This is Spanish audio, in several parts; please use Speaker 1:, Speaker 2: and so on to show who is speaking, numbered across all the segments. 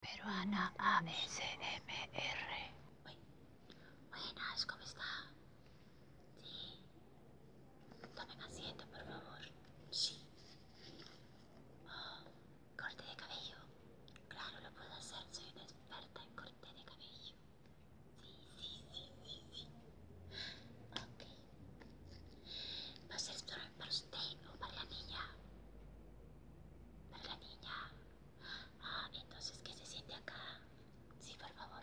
Speaker 1: Peruana ABCMR. Buenas, ¿cómo está? Sí. Tomen asiento, por favor. Sí. Oh, corte de cabello. Claro, lo puedo hacer. Soy una experta en corte de cabello. Sí, sí, sí, sí, sí. Ok. ¿Va a ser para usted o para la niña? la niña. Ah, entonces, que se siente acá? Sí, por favor.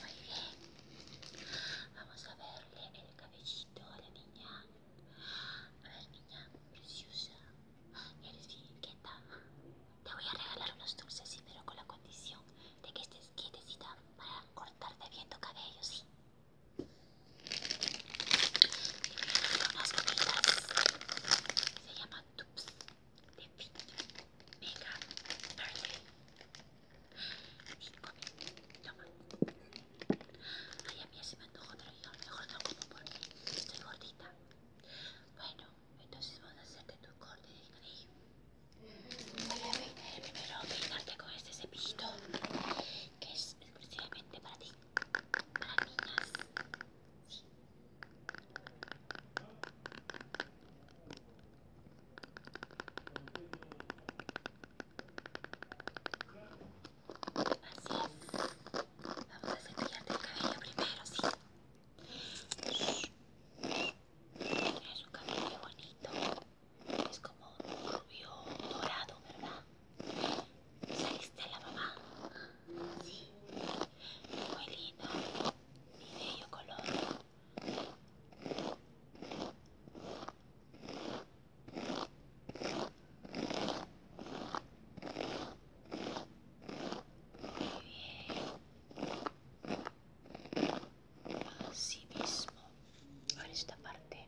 Speaker 1: Muy bien. Vamos a verle el cabellito a la niña. A ver, niña, preciosa. Eres bien Te voy a regalar unos dulces, sí, pero con la condición de que estés quietecita para cortarte bien tu cabello, ¿sí? unas gomitas se llaman Tups de Fit Mega Birthday y toma ay a mí así me antojo pero yo mejor no como porque estoy gordita bueno entonces vamos a hacerte tu corte de cabello voy a ver, primero peinarte con esto este cepillito que es exclusivamente para ti, para niñas. Sí. Así es. Vamos a cepillarte el cabello primero, sí. Es un cabello bonito es como un rubio dorado, ¿verdad? ¿Saliste a la mamá? Sí, muy lindo, mi bello color. Muy bien a mismo por esta parte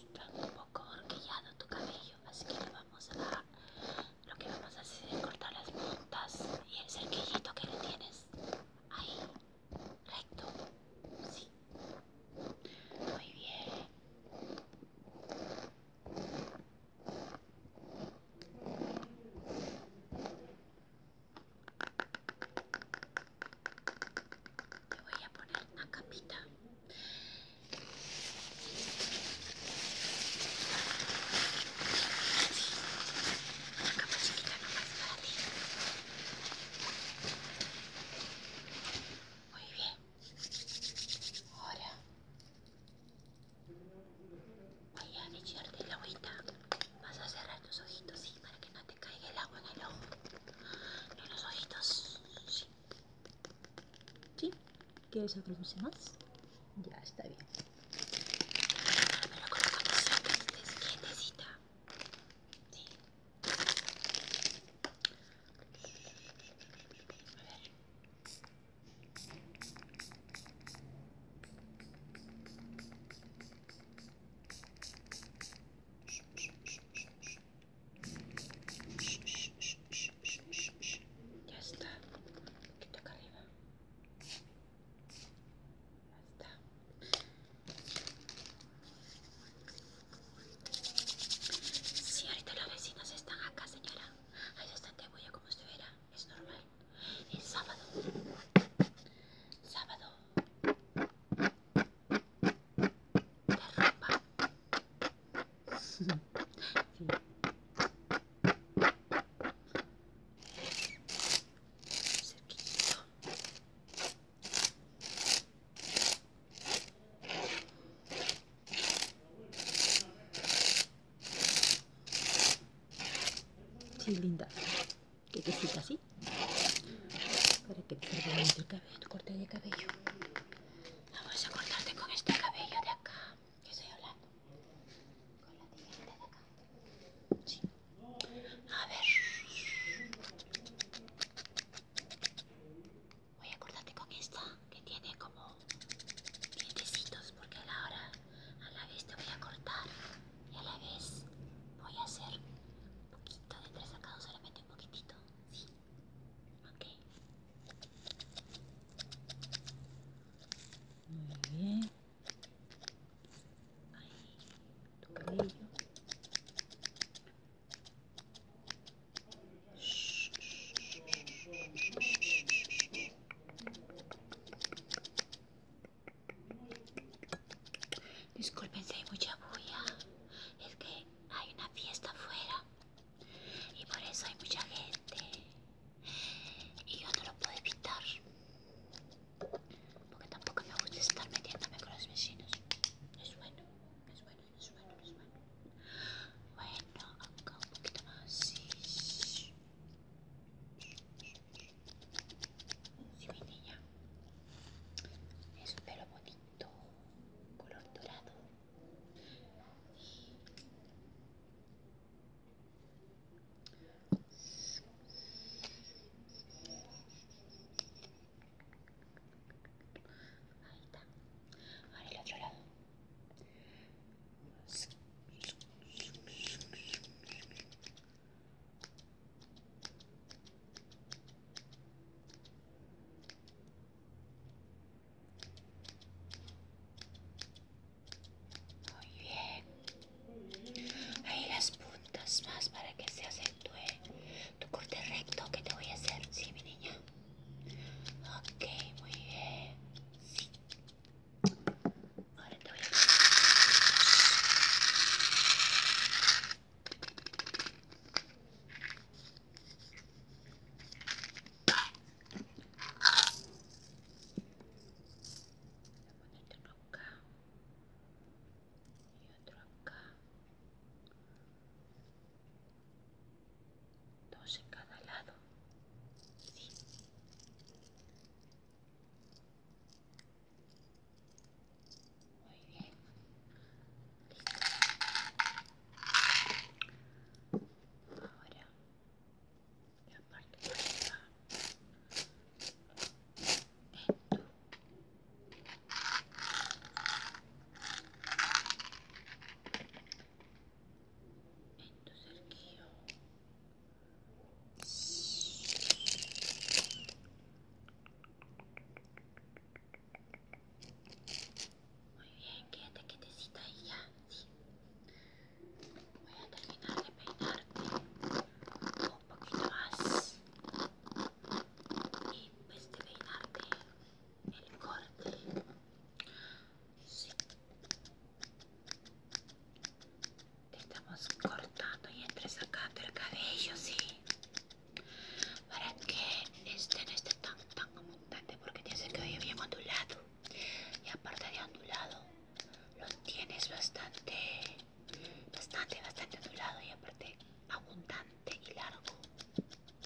Speaker 1: está un poco horquillado tu cabello así que lo vamos a lo que vamos a hacer es cortar las puntas y el cerquillito que le tienes ahí recto sí muy bien te voy a poner una capita. Una capa chiquita más para ti. Muy bien. Ahora Voy a echarte el agüita. Vas a cerrar tus ojitos, sí, para que no te caiga el agua en el ojo. En los ojitos, sí. ¿Sí? ¿Quieres aproximarse más? Ya, está bien. Me lo colocamos siempre que estés quietecita. Sí. A ver. Ya está, un poquito arriba. Ya está. Sí, ahorita los vecinos están acá, señora. Ahí está te voy a como estuviera. Es normal. El sábado. Sábado. Sí. ropa. Sí, linda. qué te quesita así. Para que te salga el cabello, tu corte de cabello. Ah, Vamos a cortarte con este cabello de acá. Que estoy hablando. Con la tijera de acá. Sí. A ver. Voy a cortarte con esta que tiene como dientecitos porque a la hora, a la vez te voy a cortar y a la vez voy a hacer un poquito de tres sacados, solamente un poquitito, ¿sí? Ok. Muy bien. Ahí, tu cabello. Disculpen si hay mucha bulla, es que hay una fiesta afuera y por eso hay mucha gente y yo no lo puedo evitar porque tampoco me gusta estar metiéndome con los vecinos. Es bueno, es bueno suena, me suena. Bueno, acá un poquito más. si sí mi niña. Es un pelo bonito, color dorado. Ahí está. Ahora el otro lado. Muy bien. Ahí las puntas más para que se acentúe tu corte recto que te voy a hacer, sí, mi niña. Ok, muy bien. Sí. Ahora te voy a poner otro acá y otro acá dos en cada lado, sí. Muy bien, listo. Ahora la parte de arriba en tu en tu yo... Muy bien, quédate quietecita ahí ya, sí. Voy a terminar de peinarte un poquito más. Y pues de peinarte el corte sí. estamos cortando y entresacando el cabello sí para que este no esté tan tan abundante porque tienes que cabello bien ondulado y aparte de ondulado lo tienes bastante bastante bastante ondulado y aparte abundante y largo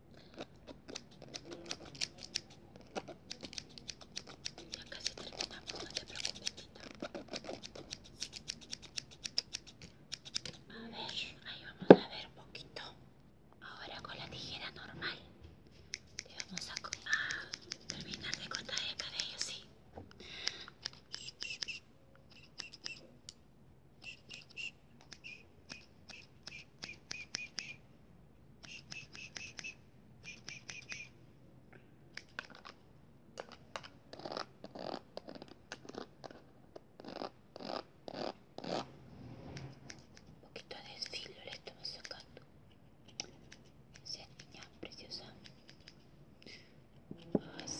Speaker 1: Ya casi terminamos, no te preocupes, A ver, ahí vamos a ver un poquito. Ahora con la tijera normal Y vamos a, terminar de cortar el cabello, sí. Un poquito de filo le né? estamos sacando. Esa é niña preciosa. Así.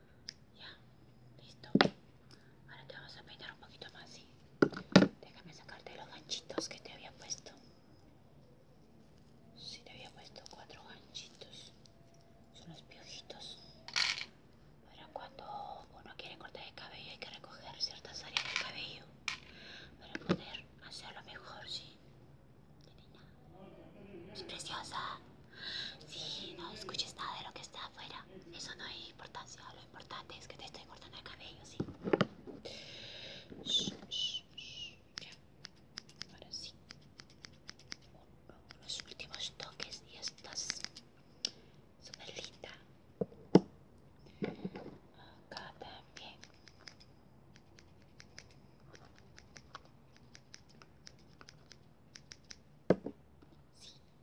Speaker 1: Ya, listo. Ahora te vamos a peinar un poquito más, ¿sí? Déjame sacarte los ganchitos que te había puesto. Si te había puesto cuatro ganchitos. Son los piojitos. Pero cuando uno quiere cortar el cabello hay que recoger ciertas áreas del cabello para poder hacerlo mejor, ¿sí? Es preciosa. Sí, no escuches nada de lo que está afuera. Eso no es importancia. Lo importante es que te estoy cortando el cabello, sí. Shh, shh, Ya. Ahora sí. Los últimos toques y estas super linda. Acá también. Sí,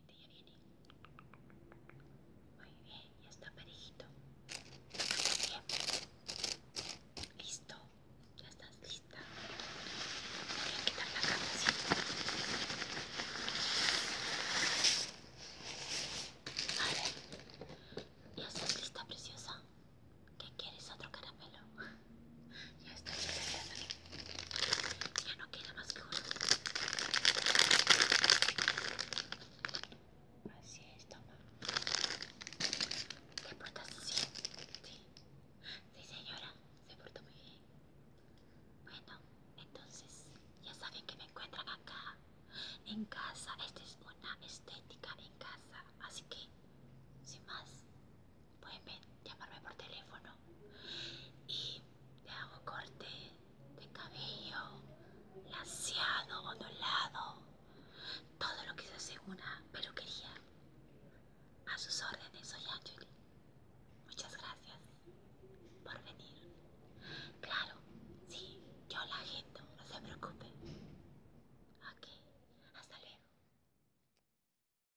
Speaker 1: ya viene. Muy bien, ya está parejito. Bien. Listo. Ya estás lista. Voy a quitar la cama Ya estás lista, preciosa. ¿Qué quieres? ¿Otro caramelo? Ya está esperando. Ya no queda más que uno. Así es, toma. ¿Te portas así. Sí. Sí, señora. Se portó muy bien. Bueno, entonces ya saben que me encuentran acá. En casa. Esta es una estética en casa. Así que, sin más, pueden llamarme por teléfono y te hago corte de cabello, laseado, ondulado, todo lo que se hace una peluquería. A sus órdenes, soy Angeli. Muchas gracias por venir. Claro, sí, yo la agendo, no se preocupe. Ok, hasta luego.